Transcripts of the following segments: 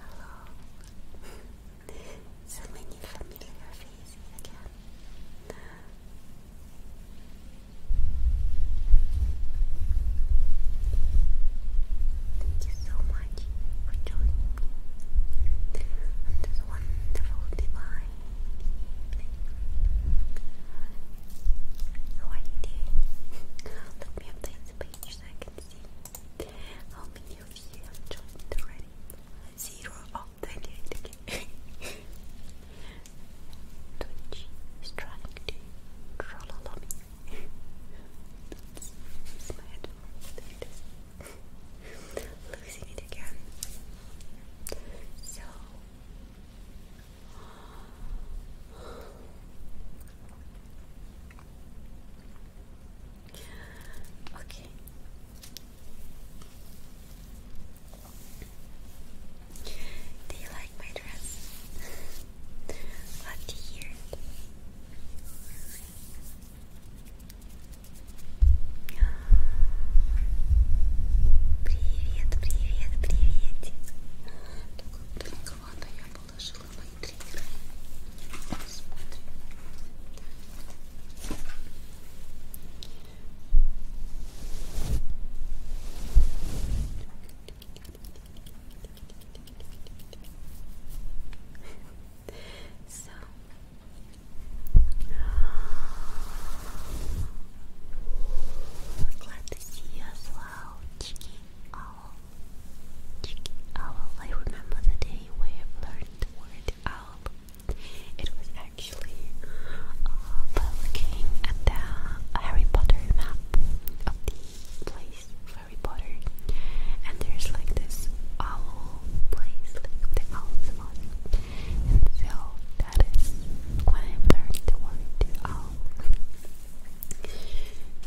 Hello. so many familiar faces again. Thank you so much for joining me on this wonderful divine evening. How are me update the page so I can see how many of you joined already. Zero. Oh, 28. Twitch is trying to trollolol me. That's my head. There Losing it again. So. Okay. Do you like my dress? what year? Привет, привет, приветик. Только далековато я положила мои триггеры. Смотрим so glad to see you as well, Chicky Owl. Chicky Owl. I remember the day where learned the word owl. It was actually actually uh, looking at the Harry Potter map of the place Harry Potter, and there's like this owl place, the owl's one, and so that is when I learned the word owl.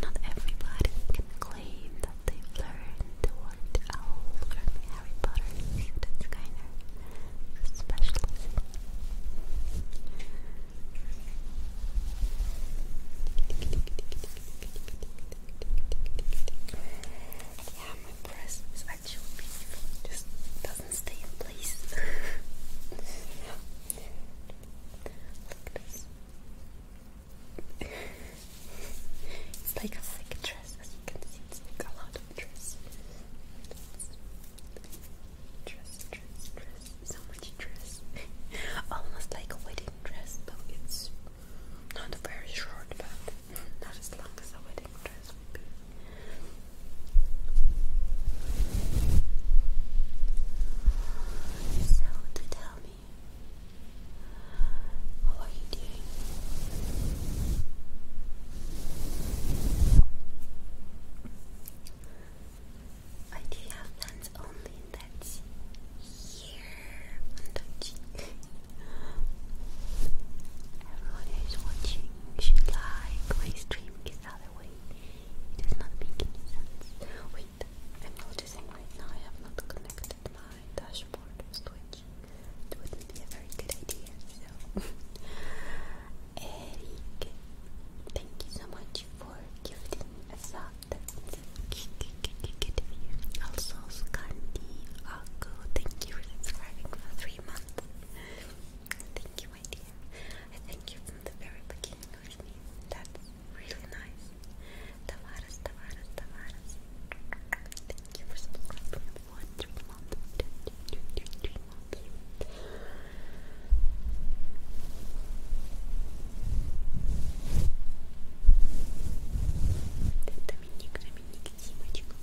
Not everybody can claim that they learned the word owl from Harry Potter, that's kind of yeah, my press is actually beautiful. just doesn't stay in place. Look at this. it's like a thick dress, as you can see. It's like a lot of dress. Dress dress, so much dress. Almost like a wedding dress, but it's not very short, but not as long as a wedding dress would be. So, to tell me, how are you doing? I do have plans only that's here on the Everyone who is watching should like my stream other way it does not make any sense. Wait, i noticing right now I have not connected my dashboard to Twitch. It wouldn't be a very good idea, so Eric, thank you so much for giving us out. Also, Skandi Akko, thank you for subscribing for three months. Thank you, my dear. I thank you from the very beginning That's really nice. Tavares, Tavares, Tavares. Thank you for subscribing for расслабься. Доминик, Доминик, Симочка.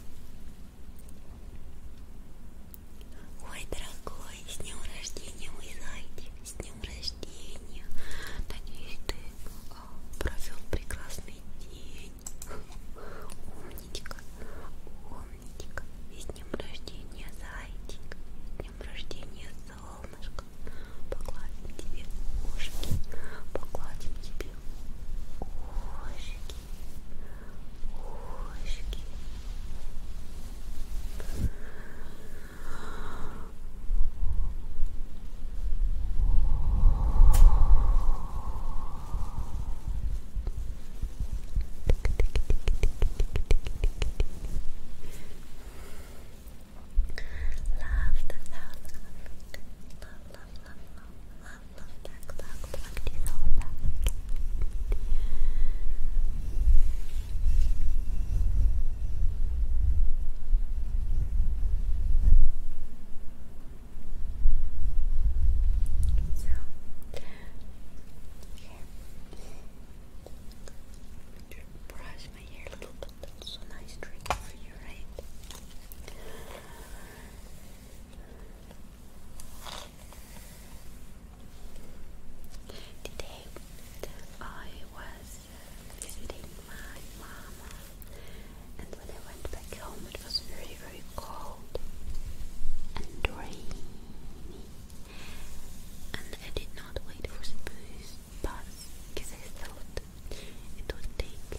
Ой, дорогой, с днем рождения, мой зайчик, с днем рождения. Надеюсь, ты о, а, провел прекрасный день. Умничка, умничка, и с днем рождения, зайчик, с днем рождения, солнышко. Погладим тебе ушки, погладим тебе ушки, ушки. Ушки. Love the South Africa. Love, love, love, love, love, love that clock plugged So, here brush my hair little That's a nice trick for you, right? Today I was visiting my mama, and when I went back home, it was very, very cold and rainy and I did not wait for the bus pass because I thought it would take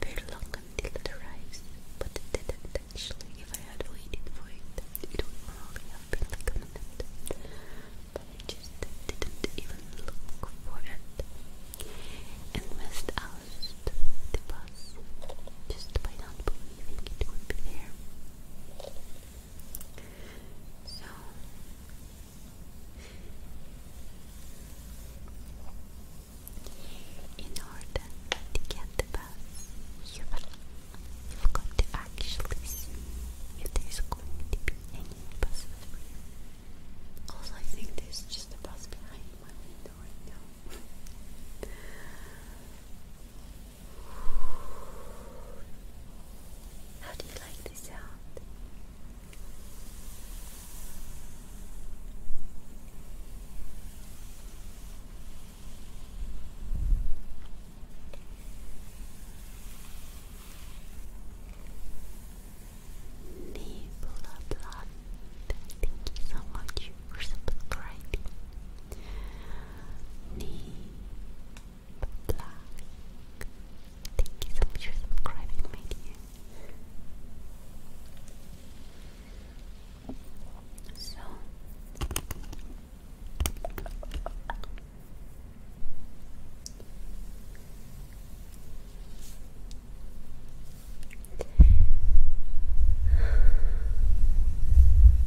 very long until it arrives, but it didn't actually. If I had waited for it, it would have been like but I just didn't even look for it and missed out the bus just by not believing it would be there. So in order to get the bus, you you've got to actually see if there's going to be any buses for you. Also, I think there's just a bus behind my window right now. How do you like this sound? Nebula Blood, thank you so much for subscribing. Nebula Thank you so much for subscribing, my dear. So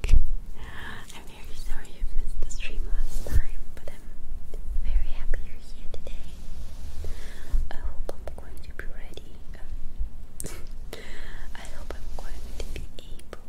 I'm very sorry you missed the stream last time, but I'm very happy you're here today. I hope I'm going to be ready. I hope I'm going to be able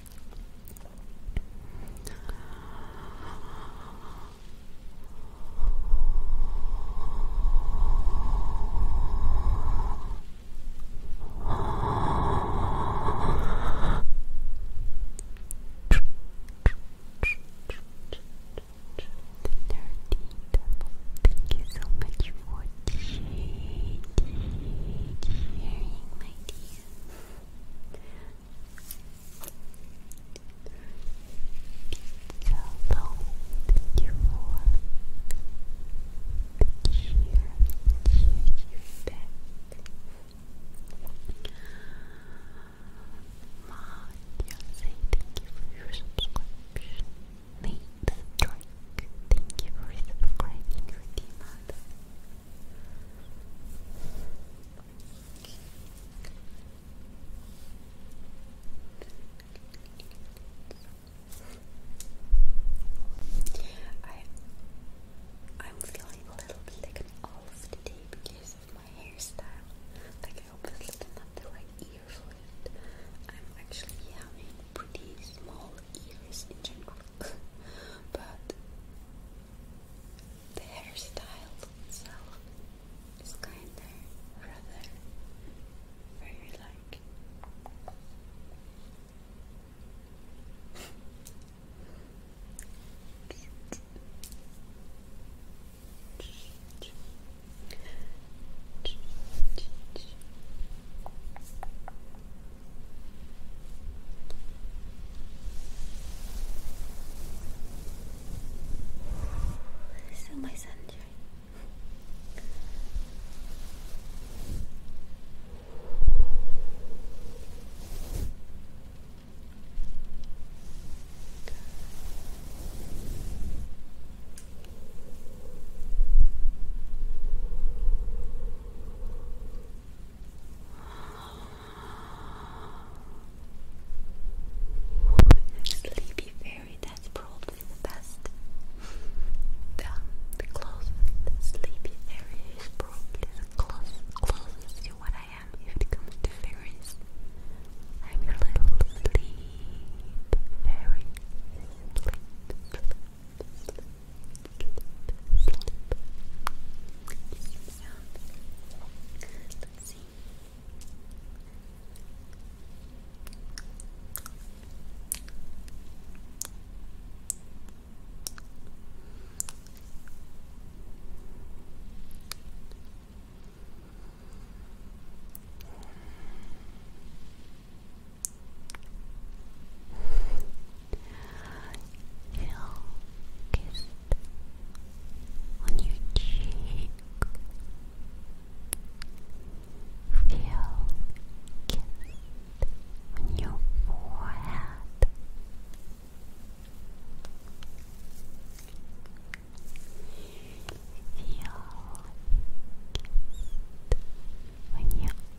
Thank you so much for cheering, my dear. Hello, thank you for cheer, cheer you back. Ma, you thank you for your subscription. Nate, thank you for subscribing I am feeling a little bit like an olive today because of my hairstyle. Like I obviously didn't ear for it. I'm actually having pretty small ears in general. but the hairstyle itself is kinda rather very like So my sunshine. Sleepy Fairy, that's probably the best. The, closest Sleepy Fairy is probably the closest, closest to what I am if it comes I'm your little sleep fairy sleep, sleep. Yeah. Let's see feel kissed on your cheek. Feel kissed on your forehead. Feel kissed on your other cheek.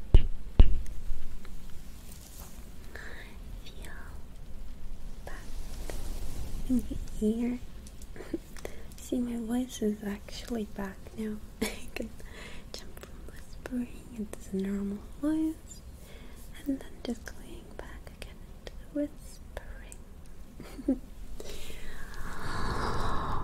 Feel that in your ear. See, my voice is actually back now. I can jump from whispering into normal voice and then just going back again into whispering.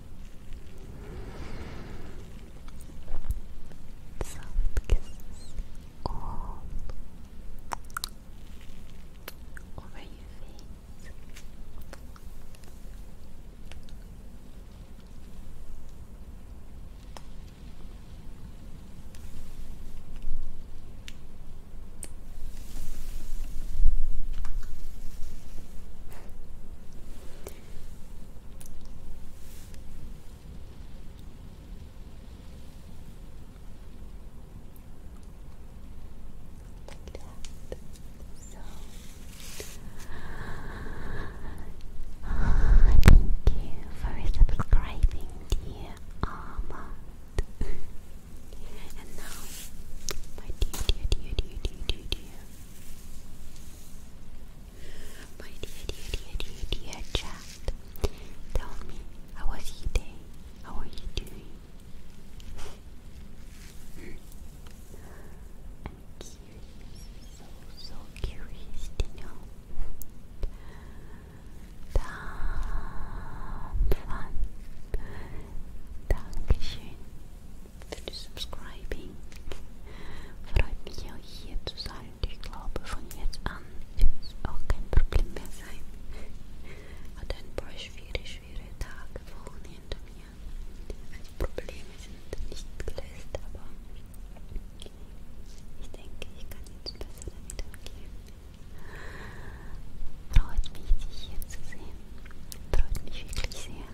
Soft kisses all over your thank you for subscribing, dear Armand. and now, my dear, dear, dear, dear, dear, dear my dear, dear, dear, dear, dear chat, tell me, how was your day? How are you doing? I'm curious, so, so curious to know. Damn fun. Dankeschön. für die Subscribing. Freut mich auch hier zu sein. Ich glaube, von jetzt an wird es auch kein Problem mehr sein. Hat ein paar schwere, schwere Tage, Wochen hinter mir. Also Probleme sind nicht gelöst, aber ich denke, ich kann jetzt besser damit umgehen. Freut mich, dich hier zu sehen. Freut mich wirklich sehr.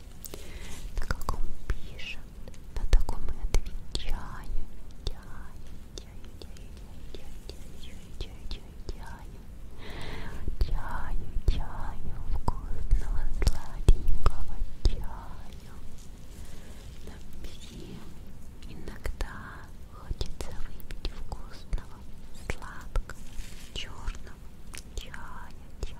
на каком пишет, на таком и отвечаю. Чаю, чаю, вкусного, сладенького чаю. Нам всем иногда хочется выпить вкусного, сладкого, черного чая, чая,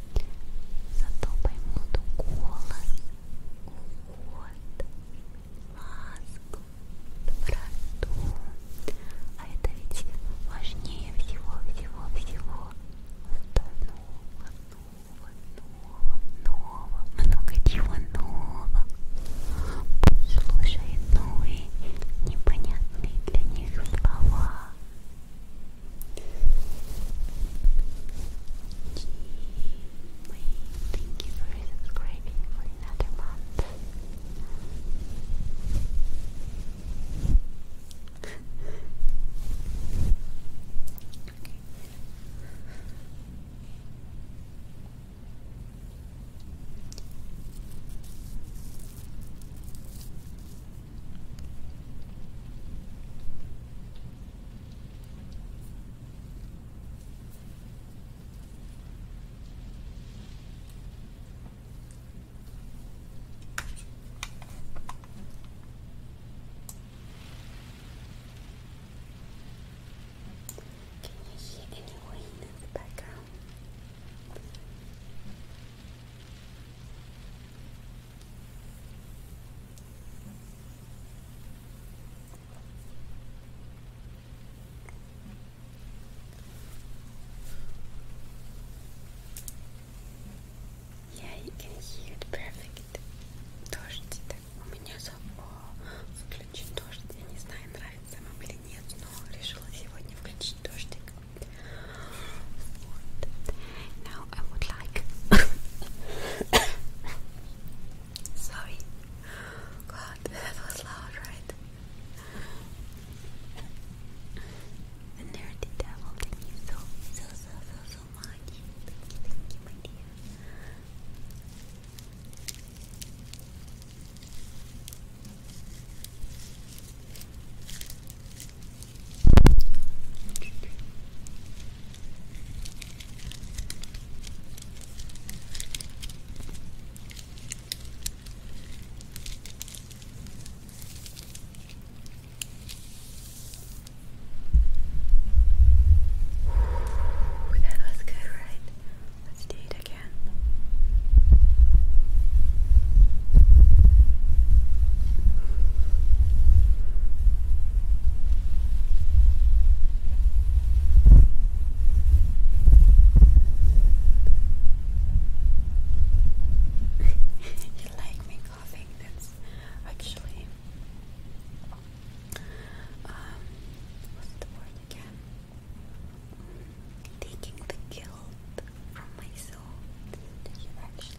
Зато поймут голос, уход, ласку, доброту. А это ведь важнее всего-всего-всего. Это нового, нового, нового, нового, много чего нового. Слушай новые непонятные для них слова. Thank you for subscribing for another month. Can you hear any wind in the background? Yeah, you can hear it perfect. Дождь, так, у меня зов... О, включен дождь. Я не знаю, нравится вам или нет, но решила сегодня включить дождик. Now I would like. Sorry. God, that was loud, right? The devil, thank you so, so, so, so, so much. Thank you, thank you, my dear. Ooh, that was good, right? Let's do it again. you like me coughing? That's actually um what's the word again? Taking the guilt from myself. Did you actually?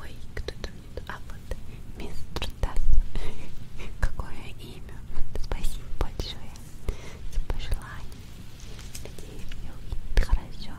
Ой, кто там нет? А вот мистер Тасс. Какое имя? Спасибо большое за пожелание. Надеюсь, все будет хорошо.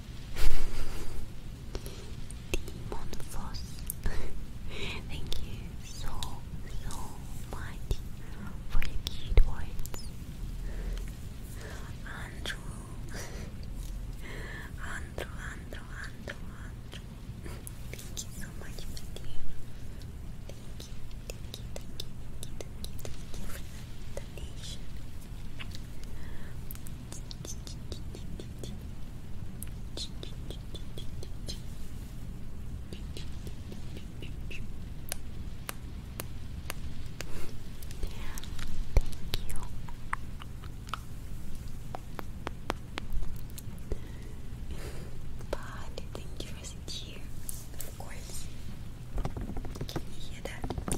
Demon Thank you so, so much for your cute words. Andrew. Andrew, Andrew, Andrew, Thank you so much, my you, but thank you for sitting here. Of course. Can you hear that?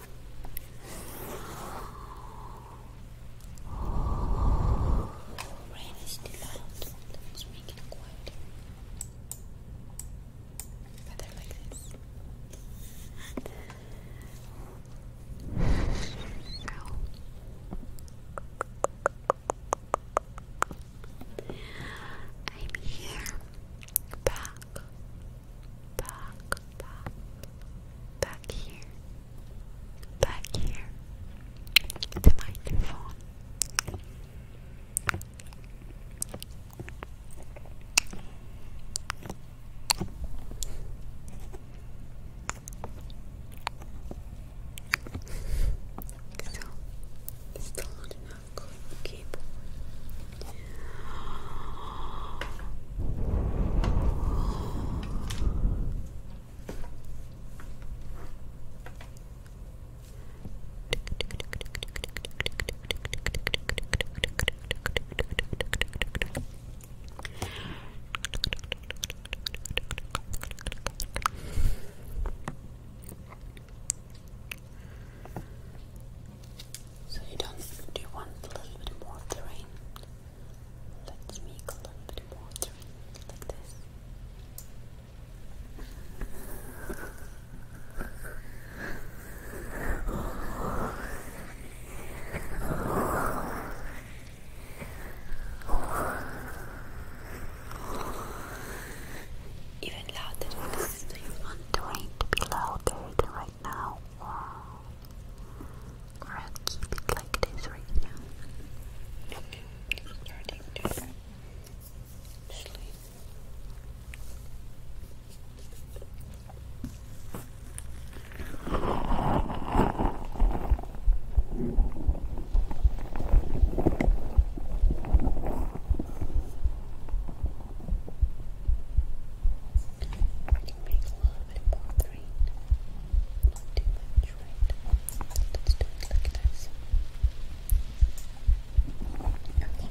Rain is still out. Let's it quieter. Better like this. So, I'm here back back, back, back here, back here, the microphone. so, still not enough keep. So you don't do want a little bit more of Let's make a little bit more like this. Even louder because you want to be louder than now, or I'll keep it like this right now. sleep. I can make a little bit more green. Not too much, Let's do it like this. Okay.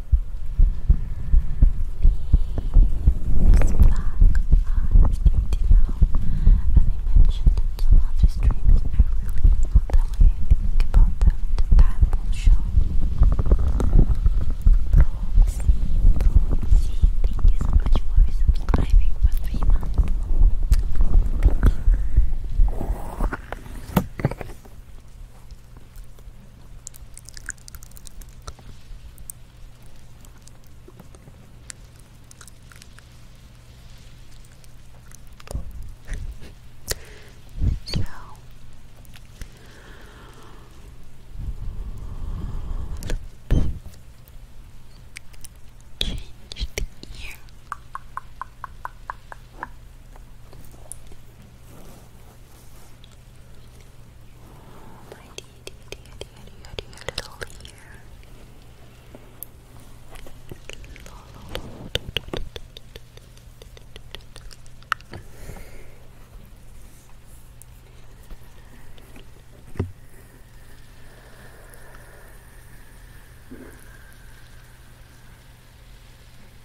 These black eyes, but you know, as I mentioned in some other streams earlier, not that way I think about them, the time will show. Proxy, Proxy, thank you much for subscribing for three so change the ear my dear, little ear.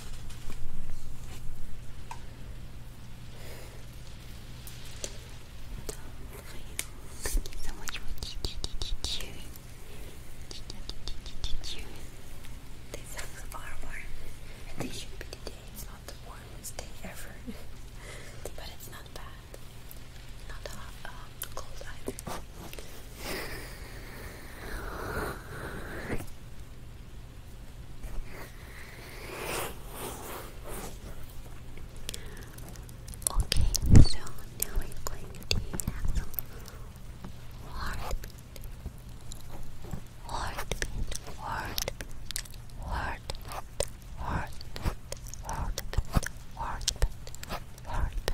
Thank you so much for cheering. Cheering. These songs are warm. And they should be today. It's not the warmest day ever. but it's not bad. Not a cold either. Okay, so now we're going heartbeat, heartbeat, heartbeat, heartbeat, heartbeat, heartbeat, heartbeat.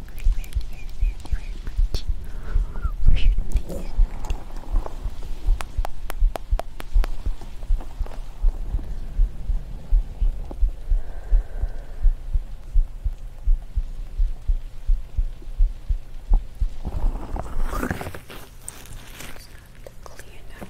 you very, very, very, very much for your opinion. Clean up.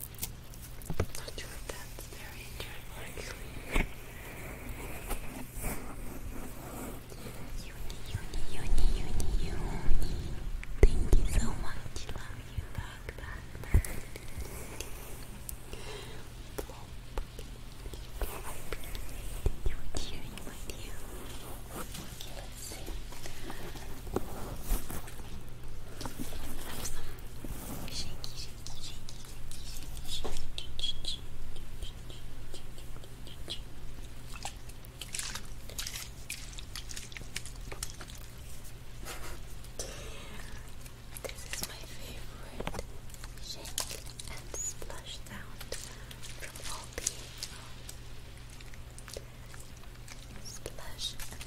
I'm not sure if that's very Thank you so much. Love you back, back, back. You this is my favorite shake and splash sound from all Splash and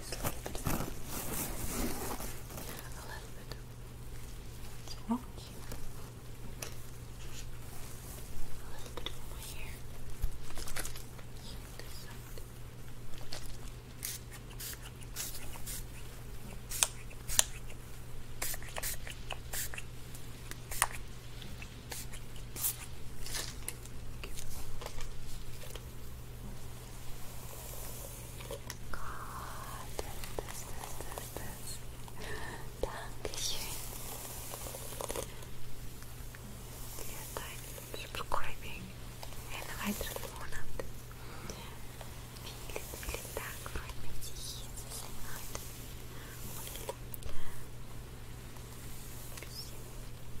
just a little bit of that. A little bit. What's wrong here? A little bit of my hair. Here, this side. Okay. Gott, das, das, das, das. Dankeschön. Für dein Subscribing. Einen weiteren Monat. Vielen, vielen Dank. Freut mich, dich hier zu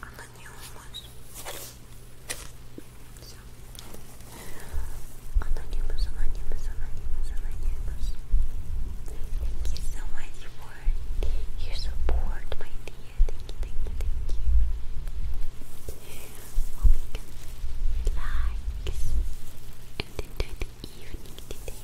Она не умоет. Все. Anonymous, anonymous, anonymous, anonymous. Thank you so much for your support, my dear thank you, thank you. Hope you can relax and enjoy the evening today. Okay, so next I to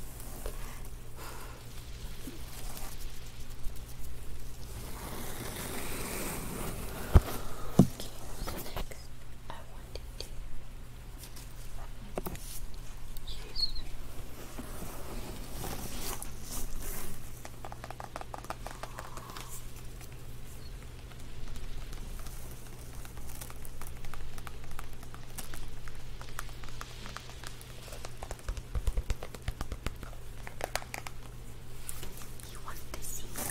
use you want to see me?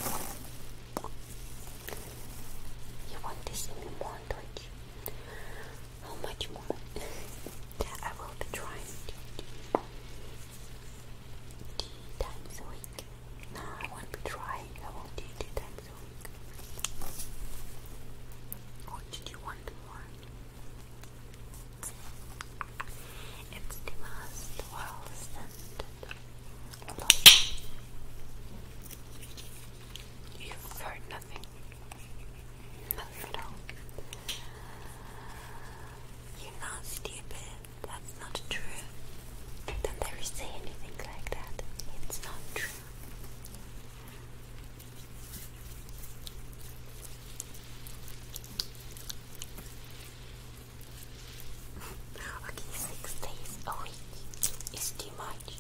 You want to see more, How much more? I will be trying to Two times a week. No, I won't be I won't do two times a week. Or did you want more? It's the most well scented lotion. you heard nothing. You're not stupid. That's not true. Don't ever say anything like that. It's not true. okay, six days a week is too much.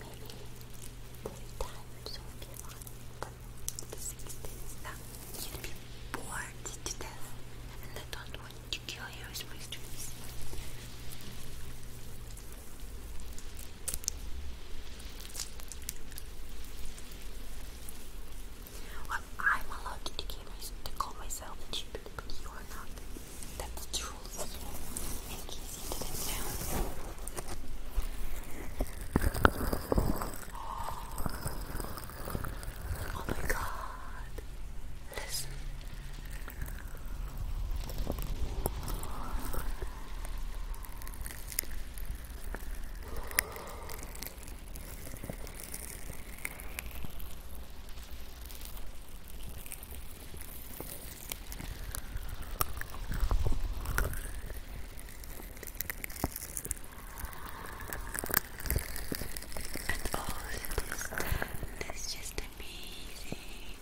Maybe three times would be that you'd be bored to and I don't want to kill you with my dreams. Well, I'm allowed to, to call myself a stupid, but you are not. That's the rules. In case you didn't know. Oh my god. Listen. And also this tent is just amazing.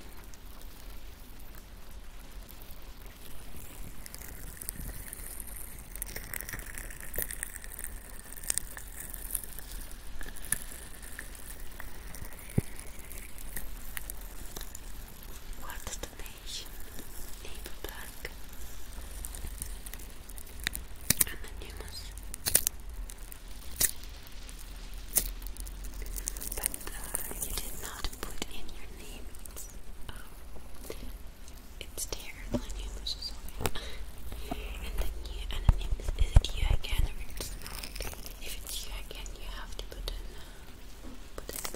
What's the name Beige, you but uh, you did not put in your name. It's, um, it's And then you, and is, it you again If it's you again, you have to put in uh,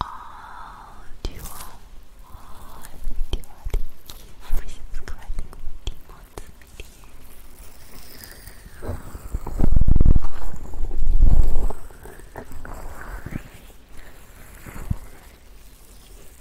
all dual, all dual, for subscribing to Demon's video.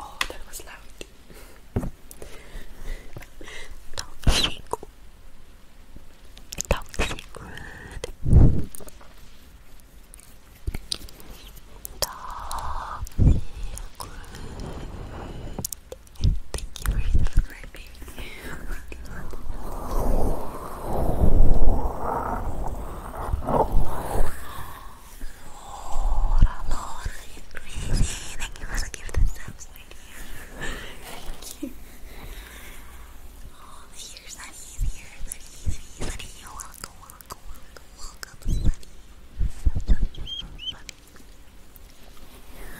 Oh, that was loud. Toxic. Toxic word. Toxic word. Thank you for subscribing. Thank you for the gift of subs, my dear. Thank you. Oh, here's Sunny, here's Sunny, Sunny, Welcome, welcome, welcome, welcome, Sunny. Sunny, Sunny, Sunny.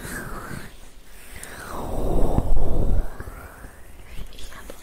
Yeah, but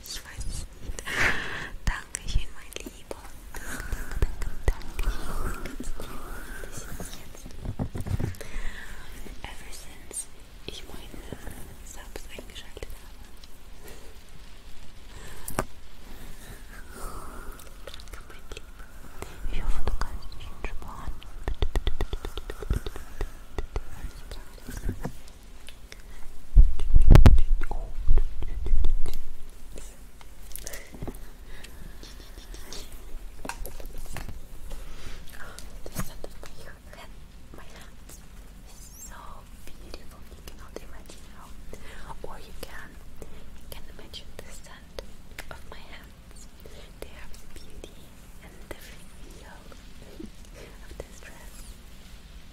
Ich weiß nicht. Dankeschön, mein Lieber. Danke, danke, danke. Ever since ich meine Subs eingeschaltet habe. Danke, mein Lieber. Ich hoffe, du kannst dich entspannen. the scent of my hair, my hands is so beautiful. You cannot imagine how, or you can, imagine the scent of my hands. They have beauty and the feel of this dress.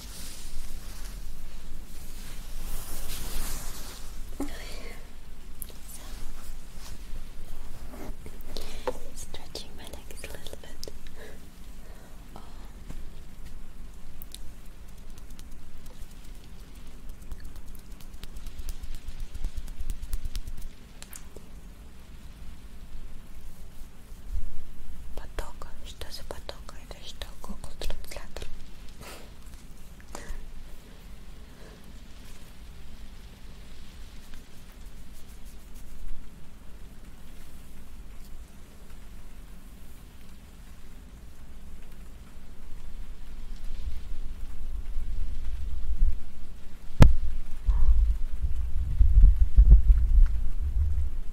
so, stretching my legs a little bit. Потока? Что за потока? Это что, Google транслятор?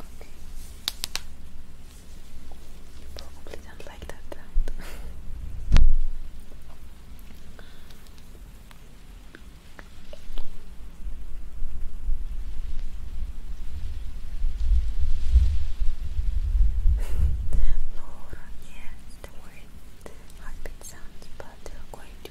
Okay. You don't like that Laura, yes, the word heartbeat sounds, but you're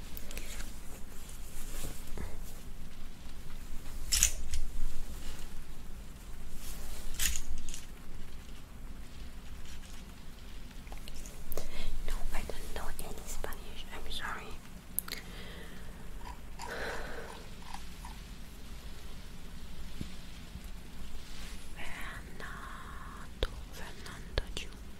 No, I don't know any Spanish. I'm sorry. Bernardo, Fernando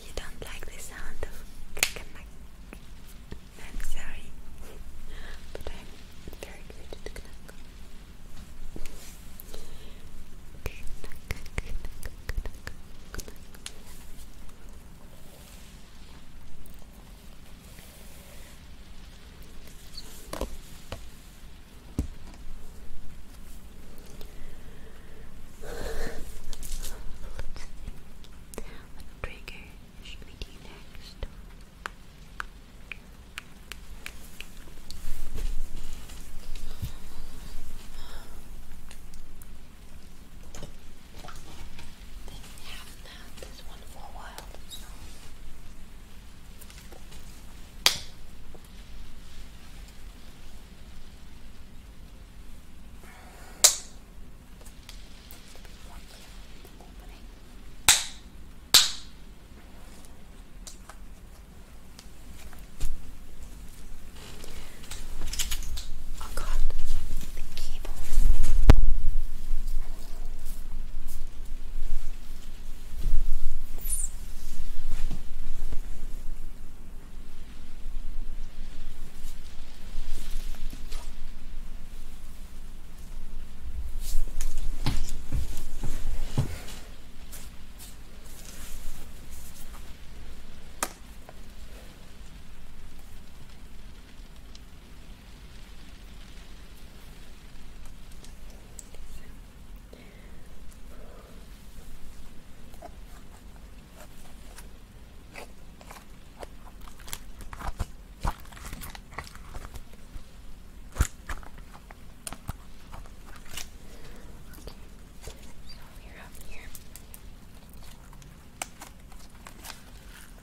You don't like the sound of knack. I'm sorry, but I'm very good at knack. What trigger should we next? They haven't had this one for a while, so. I the cable we're up here. Okay.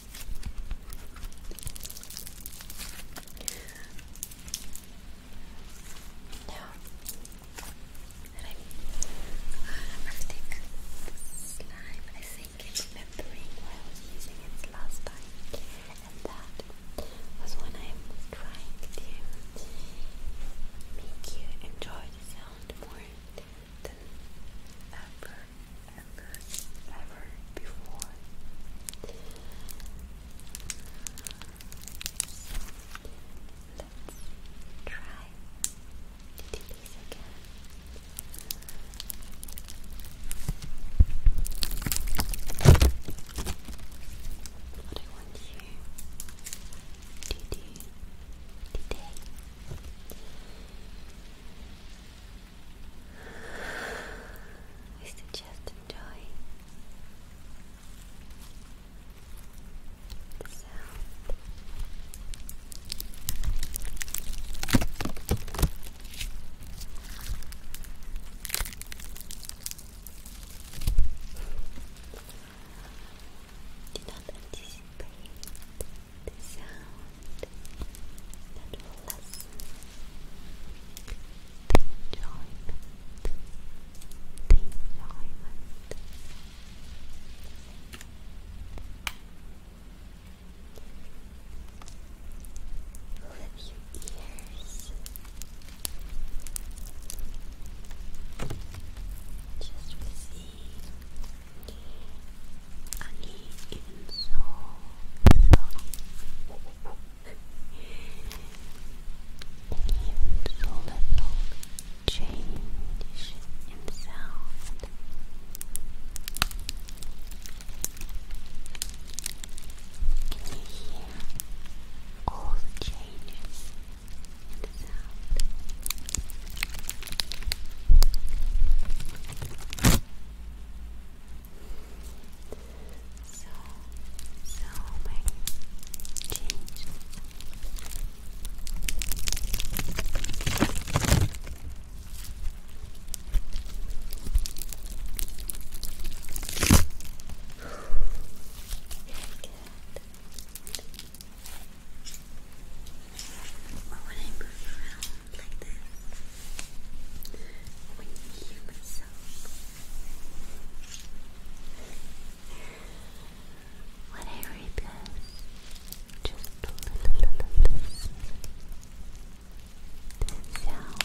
now I'm uh, slime I think it's remembering where I was using it last time and that was when I'm trying to make you enjoy the sound more than ever younger ever before. let's try to do this again. What I want you to do today is to just enjoy the sound. the sound wonderful lesson. The enjoyment. The enjoyment. Lift your ears. Just receive. Ani even so. Leaves a little change in Can you hear all the changes so, so many changes. But when I move around like this, when you hear myself. When I read this, just listen to the sound.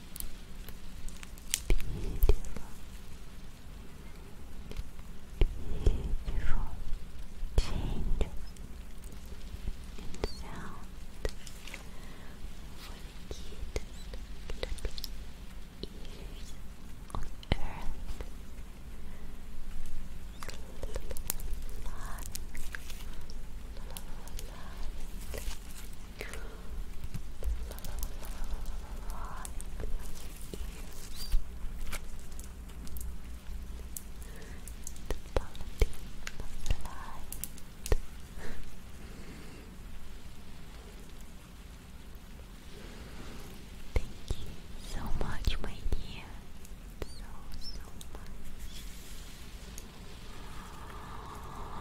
Beautiful. Beautiful changes and sound for the cutest little ears on earth. Thank you so much, my dear. So, so much for subscribing for another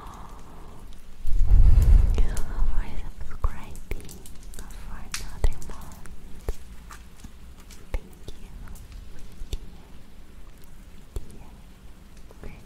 month. Thank you, dear, dear friends. Thank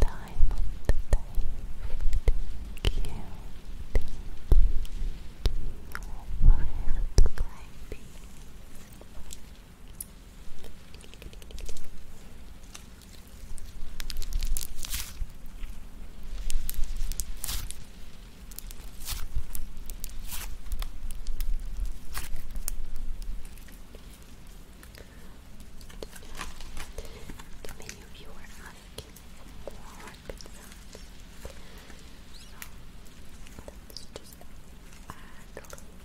time of the day. Thank you. Thank you. Many of you asking for so let's just add a little bit.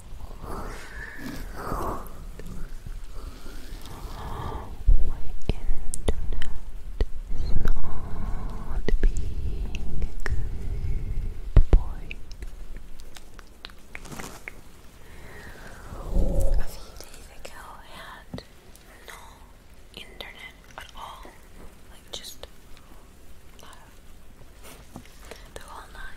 boy. A few days ago, I had no internet at all. Like, just the whole night.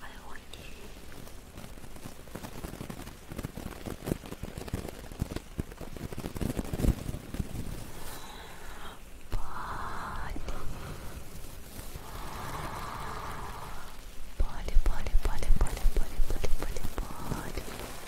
I want you body body body body body body body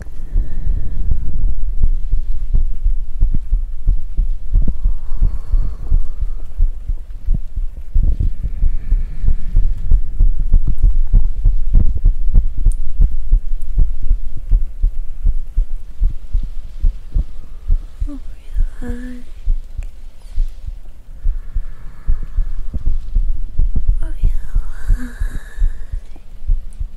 Oh, relax. Oh, relax.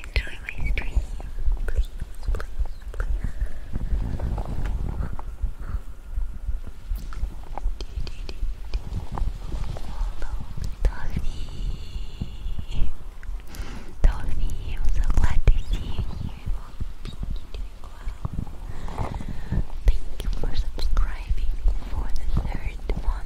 enjoy my stream. Please, please, please. Toffee, Toffee, I'm so glad to see you Thank you for subscribing for the third one.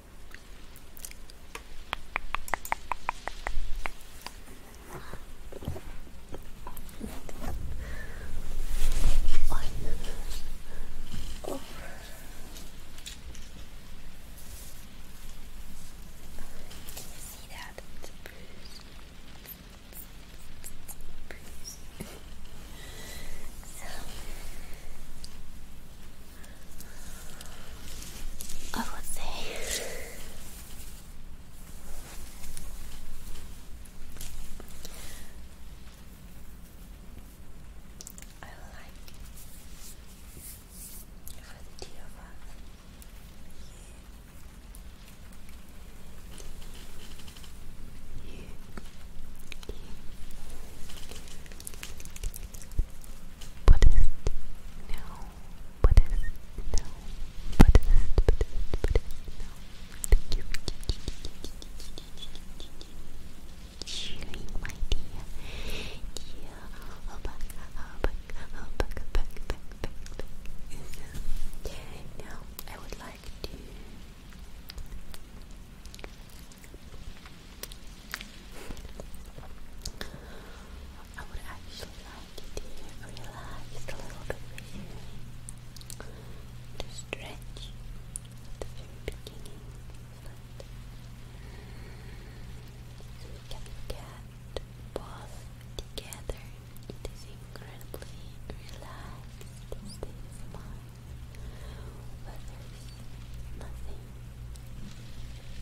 oh. Can you see that? It's a bruise. It's a bruise. so, I would say. I like for the two you, Buddhist, no, Buddhist, no, Buddhist, Buddhist, Buddhist, no, thank you. Cheering, my dear, dear, oh, back, oh, back, oh, back, back, back, back, back. So, now, I would like to I would actually like to relax a little bit with stretch at the very beginning so we both together. It is incredibly relaxed state of mind where there is nothing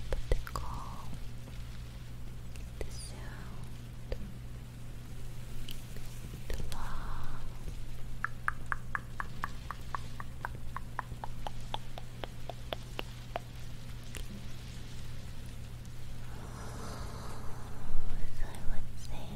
but the call, the sound, the love as I would say,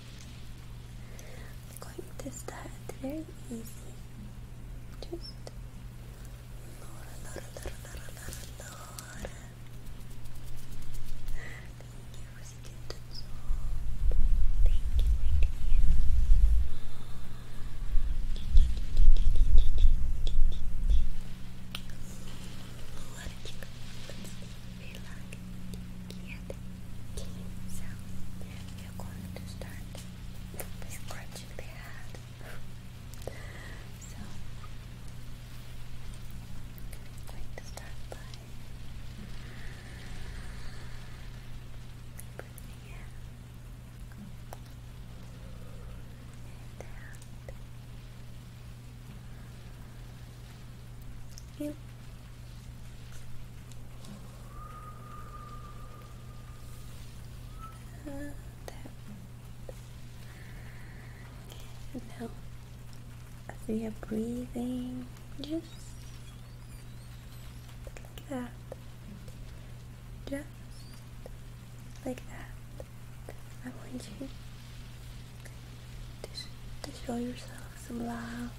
I'm going to start very easy. Just vlog get so you're going to start by so I'm going to start by breathing in and Yep. Uh, that and now are breathing just like that just like that I want you to show yourself some love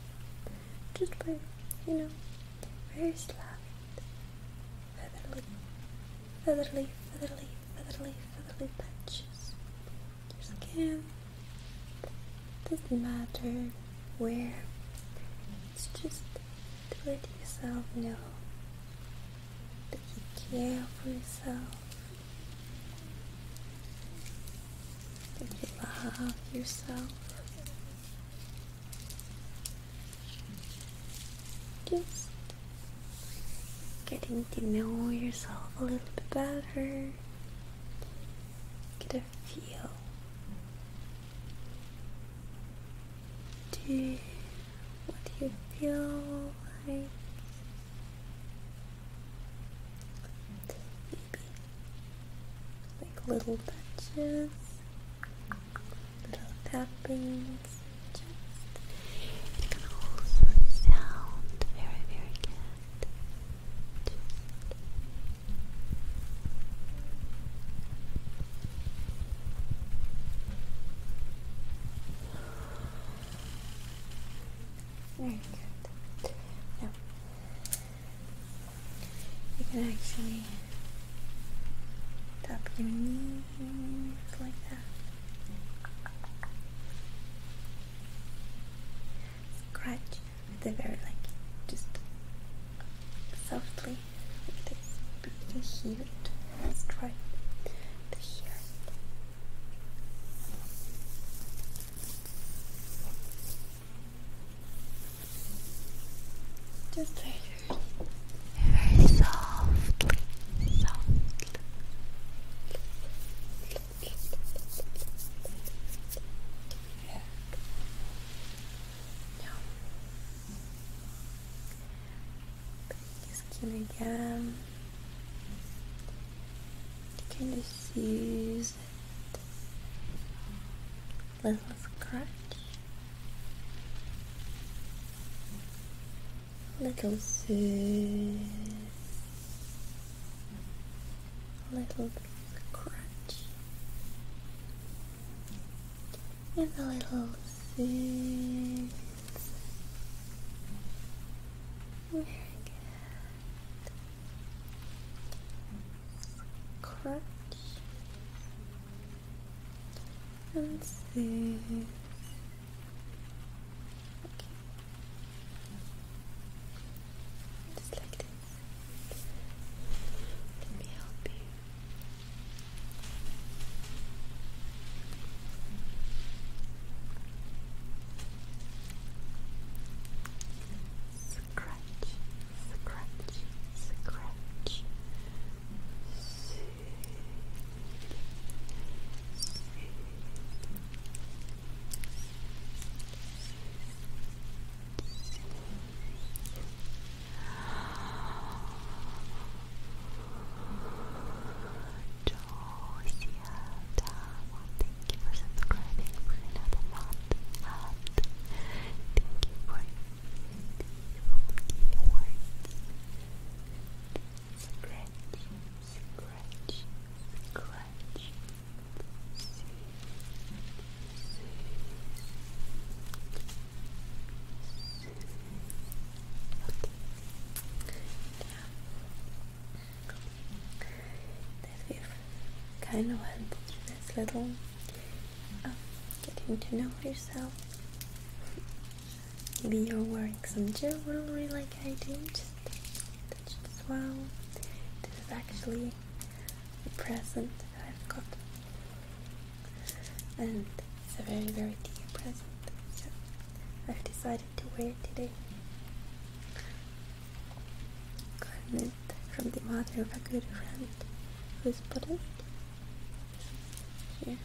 just by, you know, very slight. Featherly, featherly, featherly, featherly, featherly touches. Your skin doesn't matter where. It's just to let yourself know that you care for yourself. You love yourself. Just getting to know yourself a little bit better. Get a feel to what you feel like maybe like little touches, little tappings, just it can also very, very good. very good. Now, you can actually tap your knees like that. Scratch the very like just softly like this. You hear it. let just very, very softly, softly. Yeah. Yeah. Your skin again. You can just use use it. Little scratch. Little soothe. Little scratch. And a little soothe. Very good crunch and this just like this let me help you scratch, scratch, scratch. Josia thank you for subscribing for another month. Thank you for the words. Scratch, scratch, scratch. that kind of went through little of oh, getting to know yourself. Maybe you're wearing some jewelry like I do, just touch as well. This is actually a present that I've got, and it's a very, very dear present, so I've decided to wear it today from the mother of a good friend who is put it here.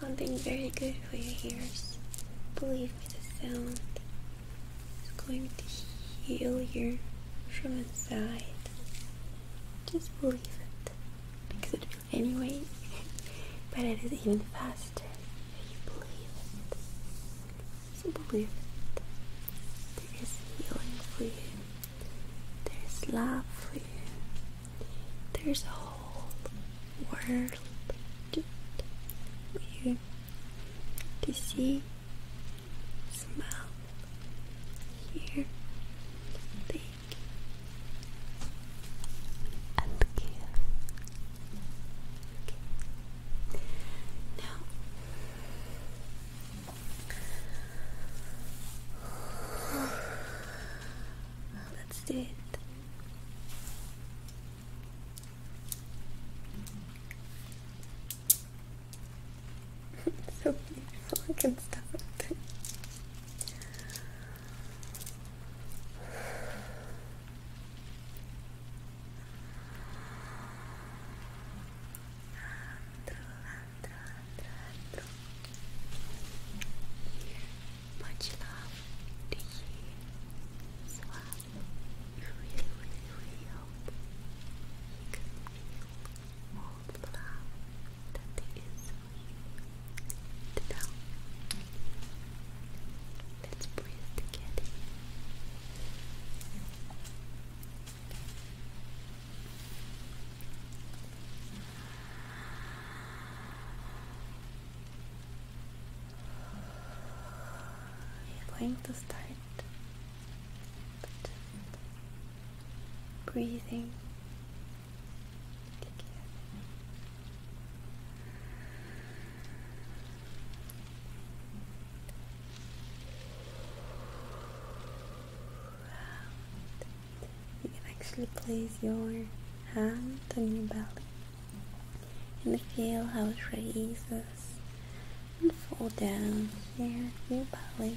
Sounding very good for your ears. Believe me, the sound is going to heal you from inside. Just believe it because it anyway, but it is even faster. you believe it, so believe it. There is healing for you. There is love for you. There is a whole world just for you to see, smell, hear, taste and give. Okay. Now, let's do it. so beautiful, I can stop Much love to you. So I really, really, really hope you can feel all the love that is let's breathe together. We're going to start breathing you can actually place your hand on your belly and feel how it raises and fall down here, your belly.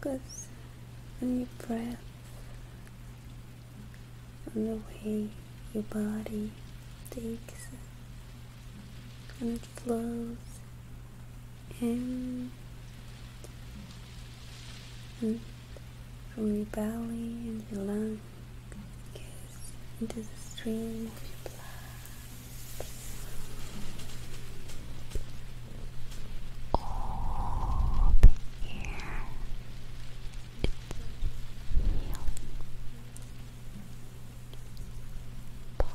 Focus on your breath, on the way your body takes on flows in mm. from your belly and your lungs into the stream of your blood. All the air is healing.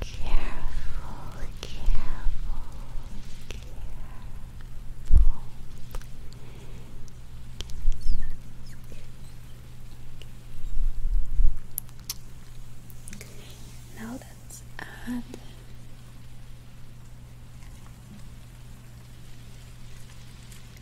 Careful, careful, careful. Now let's add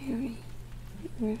very, very carefully.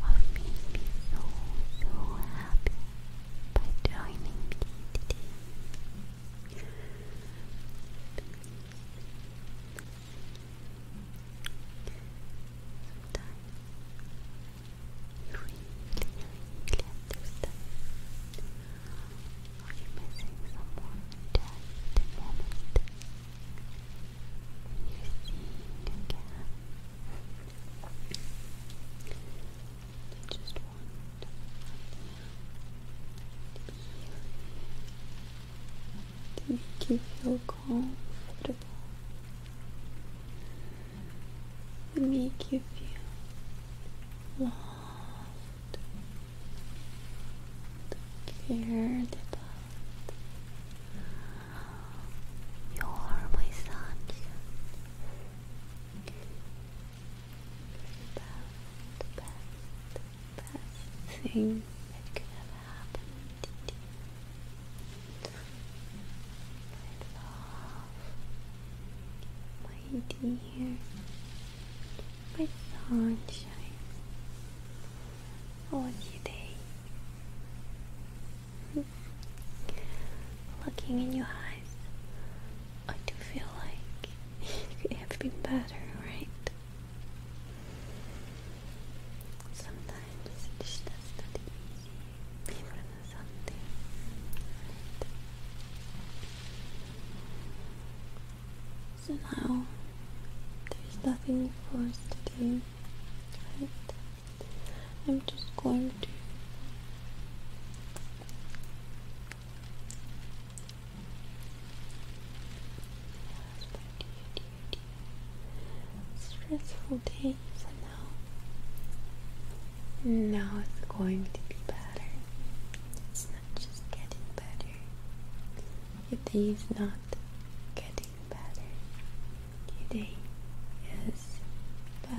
What made me so so happy by joining me today. Sometimes you really, really understand are you missing someone just a moment you're again? They just want to make you feel comfortable, to make you feel loved, cared about. You are my sunshine about the best, best thing that could ever happen to me. My love, my dear, my sunshine, all today. Looking in your eyes, I do feel like it could have been better, right? Sometimes it's just not easy, even So now there's nothing for us to do, right? I'm just going to Stressful day for now. Now it's going to be better. It's not just getting better. If day not getting better. Your is better.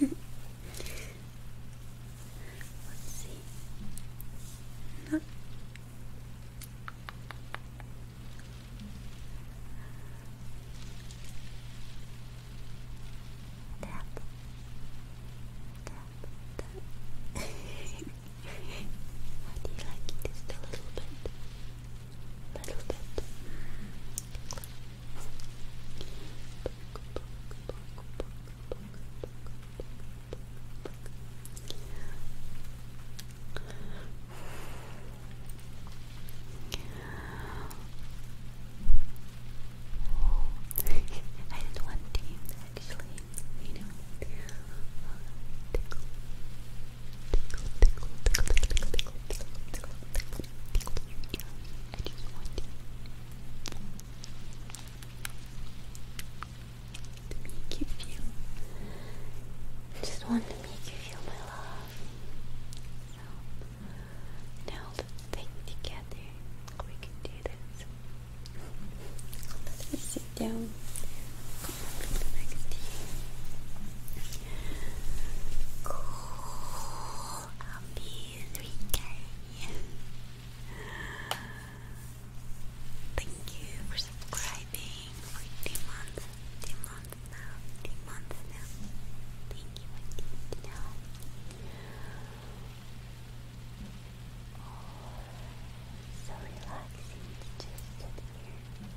Let's see. No. Tap. Tap. Tap. How do you like Just a little bit little bit. I had one team actually, you know, I just want To make you feel. I just want to make you feel my love. So now let's together. We can do this. Let's sit down. Come next to you all of these Rikari. Thank you for subscribing for two months, two months now, two months now. Thank you, I did now. Oh, so relaxing just sit here.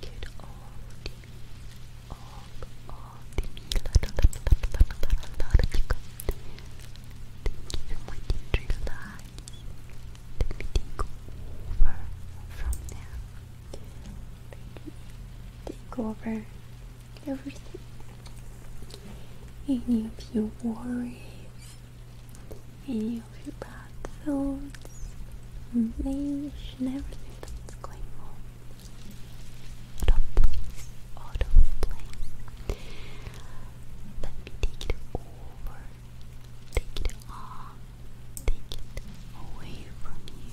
Get all the all all the la la la la la la la la Thank you for waiting to relax. Let over from now. Take over everything. Any of your worries, any of your bad thoughts, rage, and everything that's going on. Out of out of place. Let me take it over, take it on, take it away from you.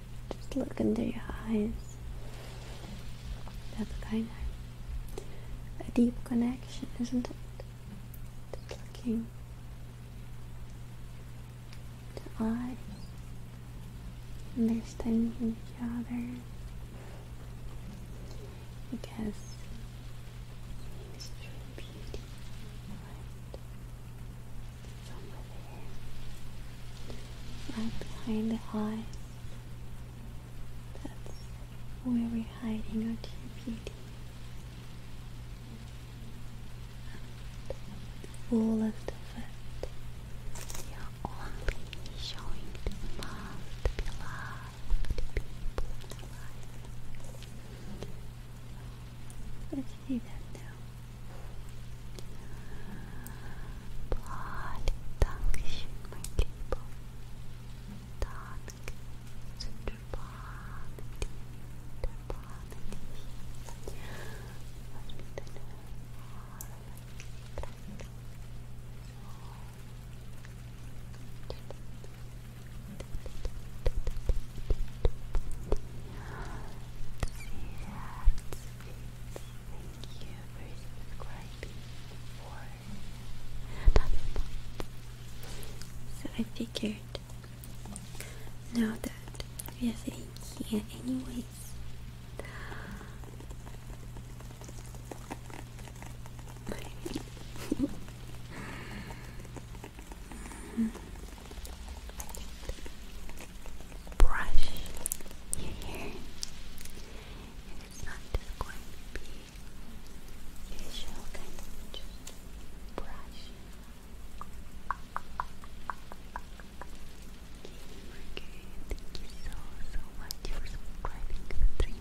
Just look into your eyes. That's kind of a deep connection, isn't it? Just looking to eyes, understanding each other. Because mystery beauty, somewhere there. Right behind the eyes. That's where we're hiding our true beauty. And the fullest of it. We are only showing the most beloved people in Let's do that now. Bloody Dankeschön, mein Lieber. Danke. Sind spannend, spannend. Was mit deinen Haaren? Das Herz, Thank you for subscribing So I figured now that we are sitting here anyways, brush your hair. And it's not going to be visual, just brush. Okay, thank you so, so much for subscribing for three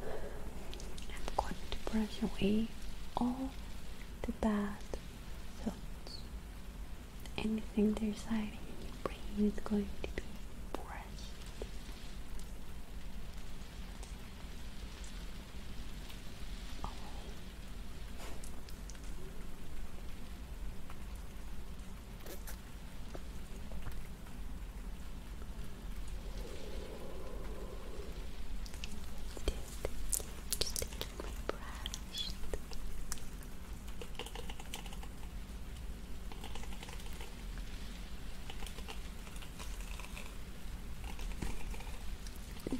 I'm going to brush away all the the bad thoughts. Anything are hiding in your brain is going to be pressed. Oh. Just taking my brush.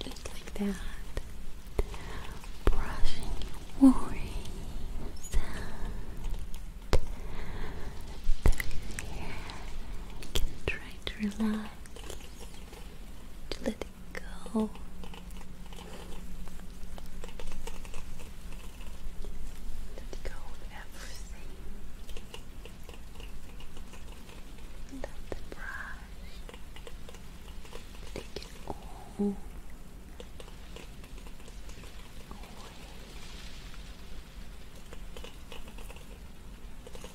Just like that. Brushing your worries out. Through here, can try to relax to let it go. Let go of everything. Let the brush take it all.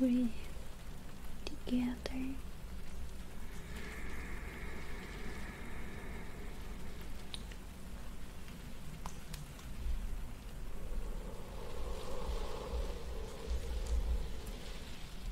Breathe together.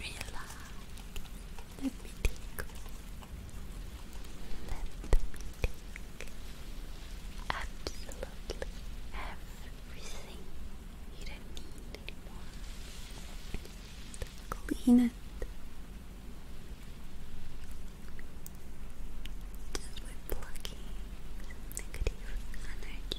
Relax. Let me take. Let me take. Absolutely everything you don't need anymore. Clean it. Just by plucking some negative energy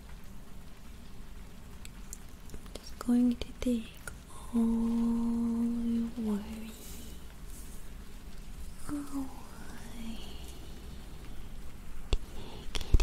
just going to take all your worries away. Cute.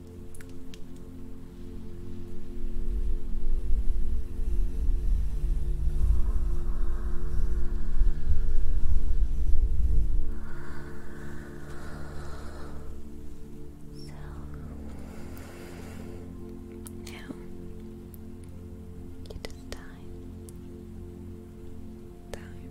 So now it is time. Time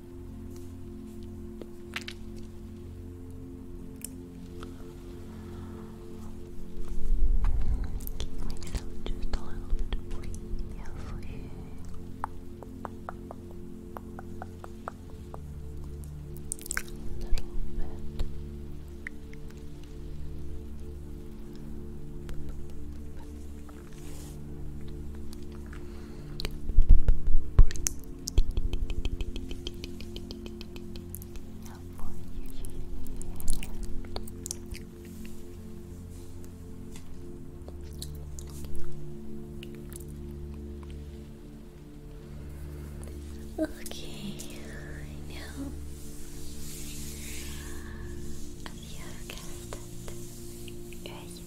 Keep myself just a little bit free for you. A little Okay, now have you guessed it?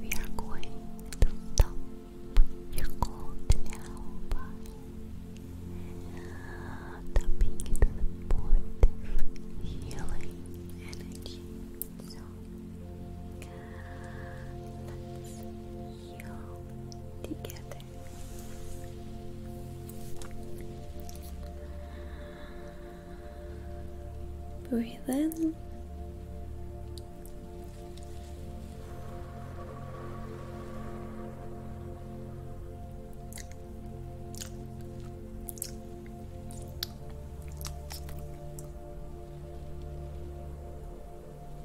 We are going to stop your cold now by tapping into the positive healing energy. So let's heal together. Breathe in.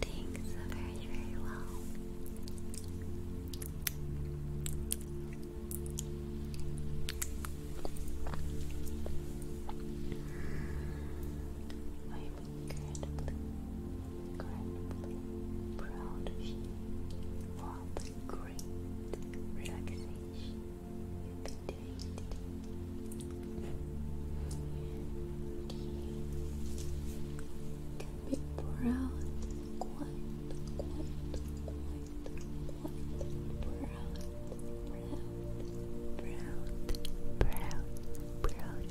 Thanks very, very well incredibly, incredibly proud of you for great relaxation you've been doing today. You proud, quite, quite, quite, quite proud. Proud, proud, proud, proud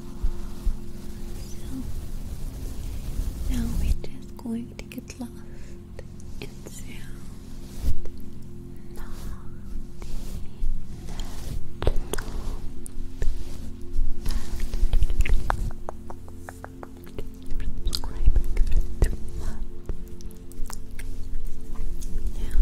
So now we're just going to get lost in sound. Naughty, naughty, naughty. Subscribing for two months. Yeah.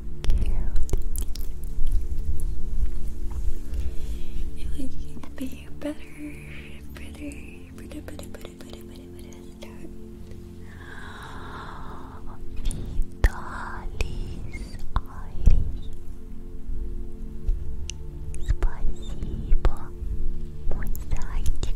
you can be better, better, better, better, better, better, better, better, better. Vitalis Iris. Спасибо, мой зайчик.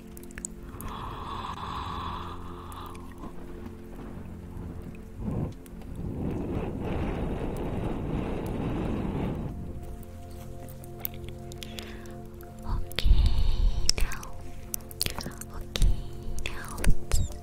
Okay, now, okay, now start. Still.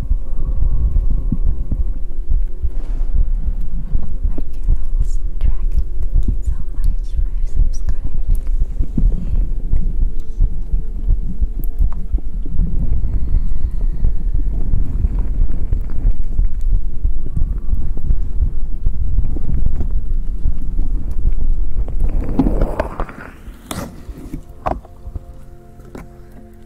Girls Dragon, thank you so much for subscribing.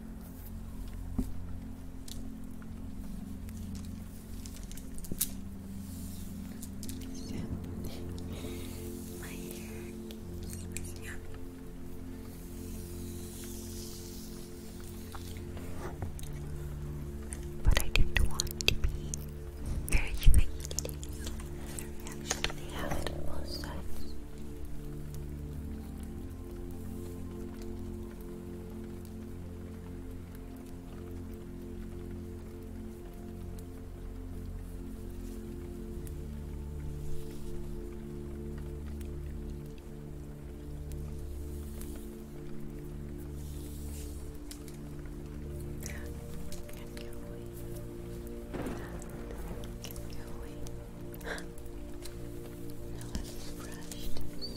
So, my But I did want to be very fake. actually have it on that can go away. That can go away now let's brush this one. Okay.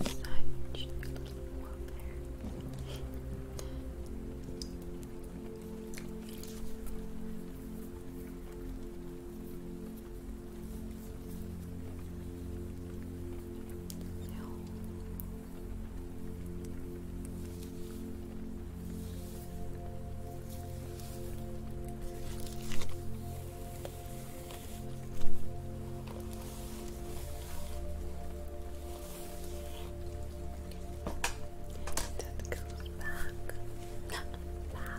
This side should be a little more up there. Now, that goes back, back.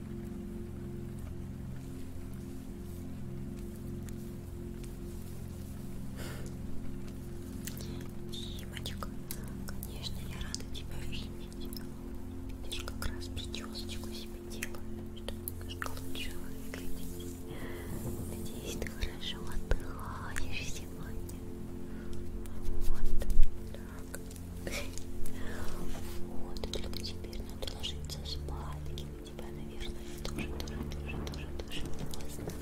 Димочка, конечно, я рада тебя видеть. Видишь, как раз причесочку себе делаю, чтобы немножко лучше выглядеть. Надеюсь, ты хорошо отдыхаешь сегодня. Вот так. Вот, и только теперь надо ложиться спать. У тебя, наверное, тоже, тоже, тоже, тоже, тоже поздно.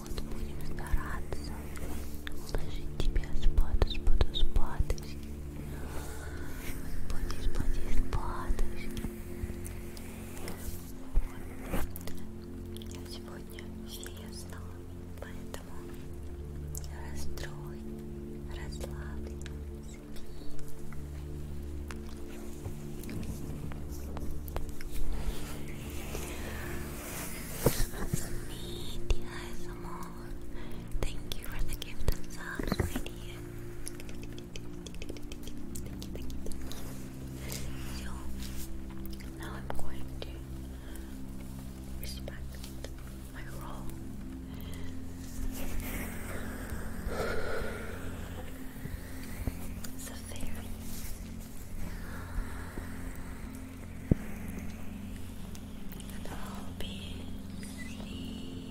Вот, будем стараться уложить тебя спать, спать, спать. Спать, спать, спать. Я сегодня все я знала, поэтому расстрой Thank you for the gift of sub, my dear. now I'm going to respect my roll. It's a fairy. And all beings sleep.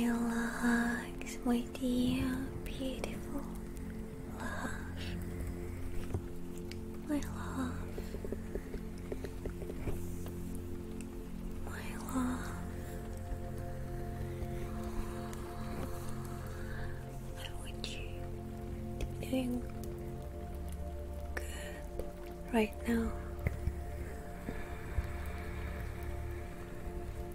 Relax, my dear, beautiful love, my love, my love. I want you to be good right now.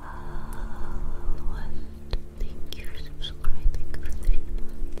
Oh, thank you for subscribing for three months.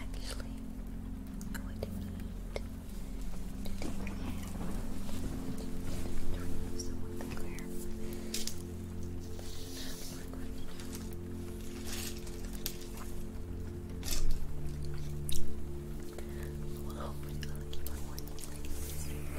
Actually, I'm going to need to take my hair. Some of the glare. But well, hopefully, I'll keep on watching like this. Thank you.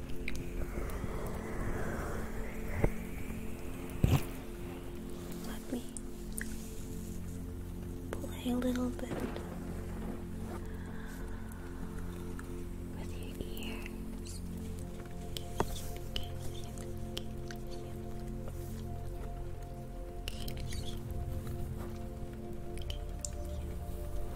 Let me play a little bit with your ears.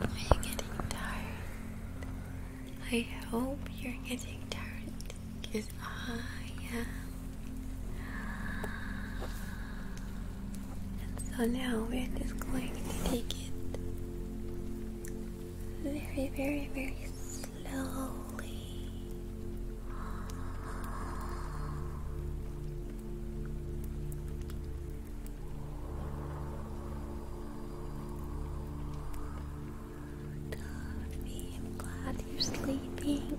Are you getting tired? I hope you're getting tired because I am. And so now we're just going to take it very, very, very slowly. Duffy, I'm glad you're sleeping.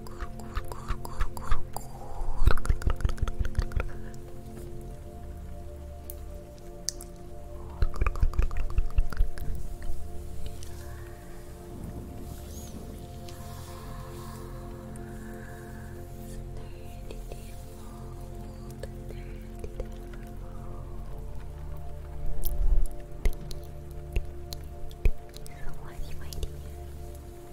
Thank you so much, my dear.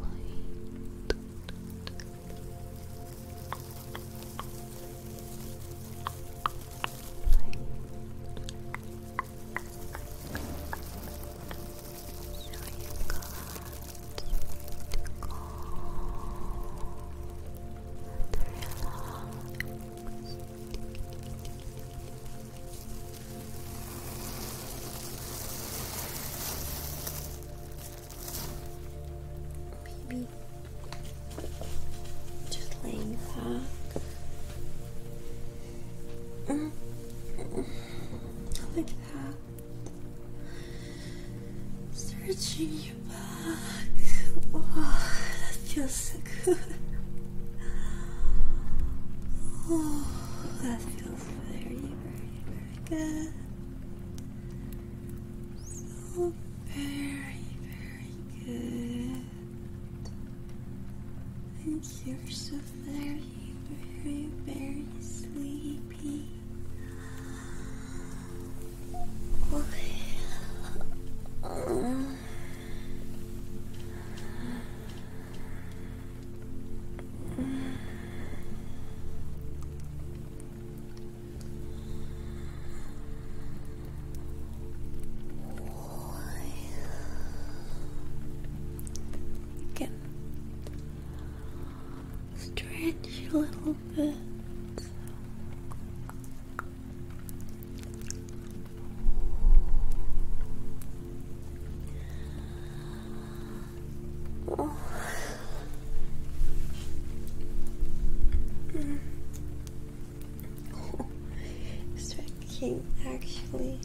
light. So you've got to calm and relax. Maybe just laying back. Mm -hmm. Like that. Searching your back. Oh, that feels so good. Oh, that feels very, very, good. So very, very good. And you're so very, very, very sleepy. Again, stretch a little bit. Oh. Mm. Oh. It's actually.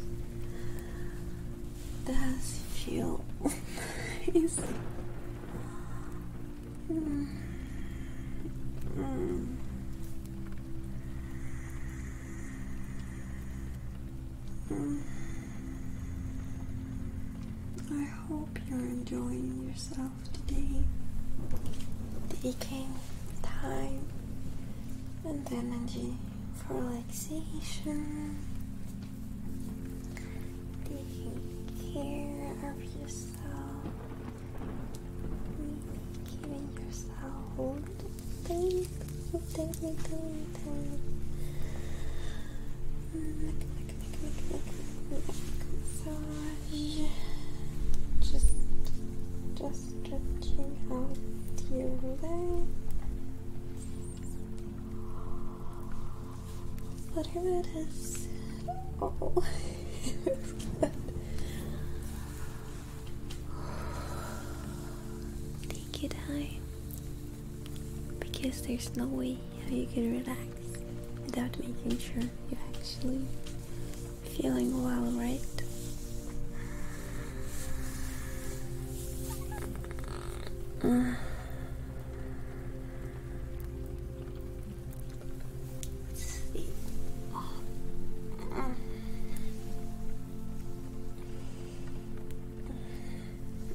Does feel nice. Mm. Mm. Mm. I hope you're enjoying yourself today, taking time and energy for relaxation, taking care of yourself, giving yourself all the things that just, just stretching out your legs. Whatever it is. Oh, it was good. Take your time because there's no way how you can relax without making sure you're actually feeling well, right? let's see.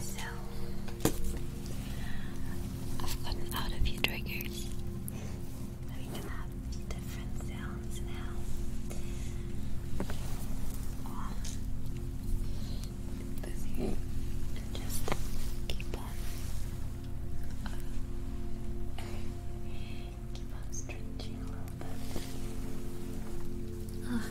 So, I've gotten out of your triggers. We can have different sounds now. Um, and just keep on, keep on stretching a little bit. Oh,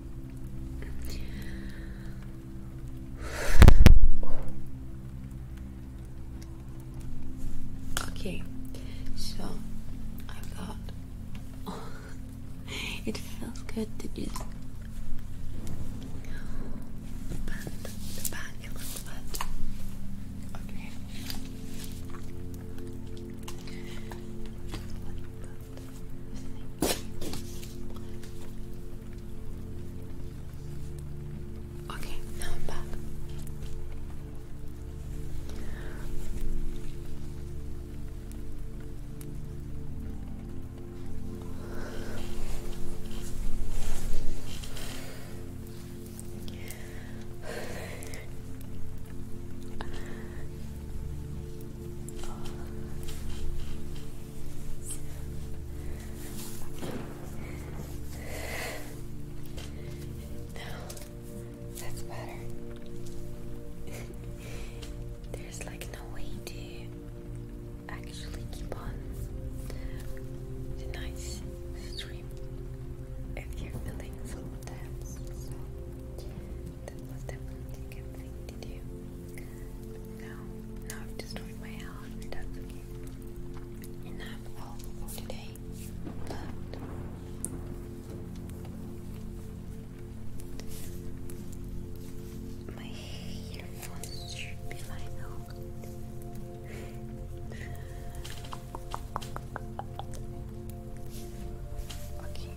Okay, so I've got. it feels good to just. Bend the back a little bit. Okay. Okay, now I'm back. No, that's better. There's like no way to actually keep on nice stream if you're feeling so tense. That was definitely a good thing to do. No, now I've destroyed my health, and that's okay. Enough health for today. Left. My earphones should be lying Okay.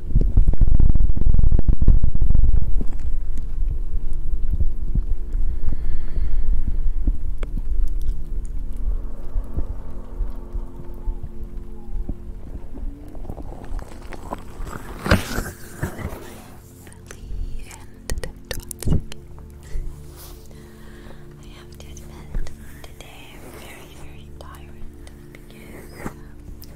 I have to admit, today I'm very, very tired because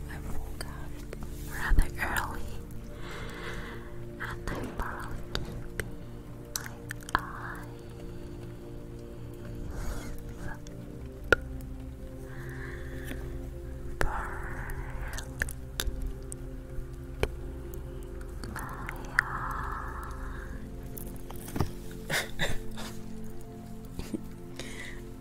I woke up rather early and I probably can be my eyes.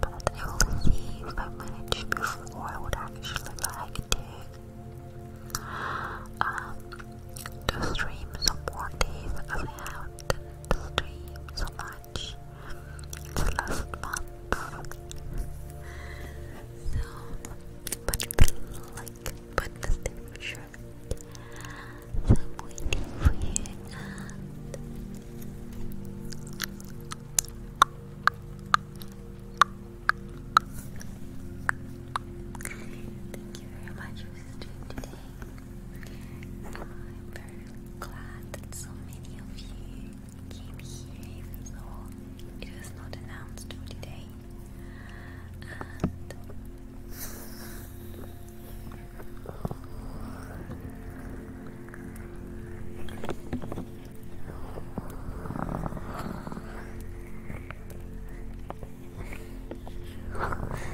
But I will see if I manage before I would actually like to um, to stream some more days I have stream so much the last month. So, but like, but this different So I'm Thank you very much for streaming today. I'm very glad that so many of you came here, even though it was not announced today. So many beautiful things. Love you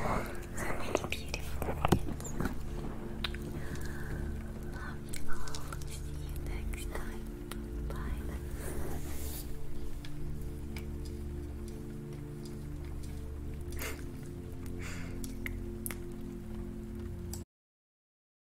all. See you next time. Bye.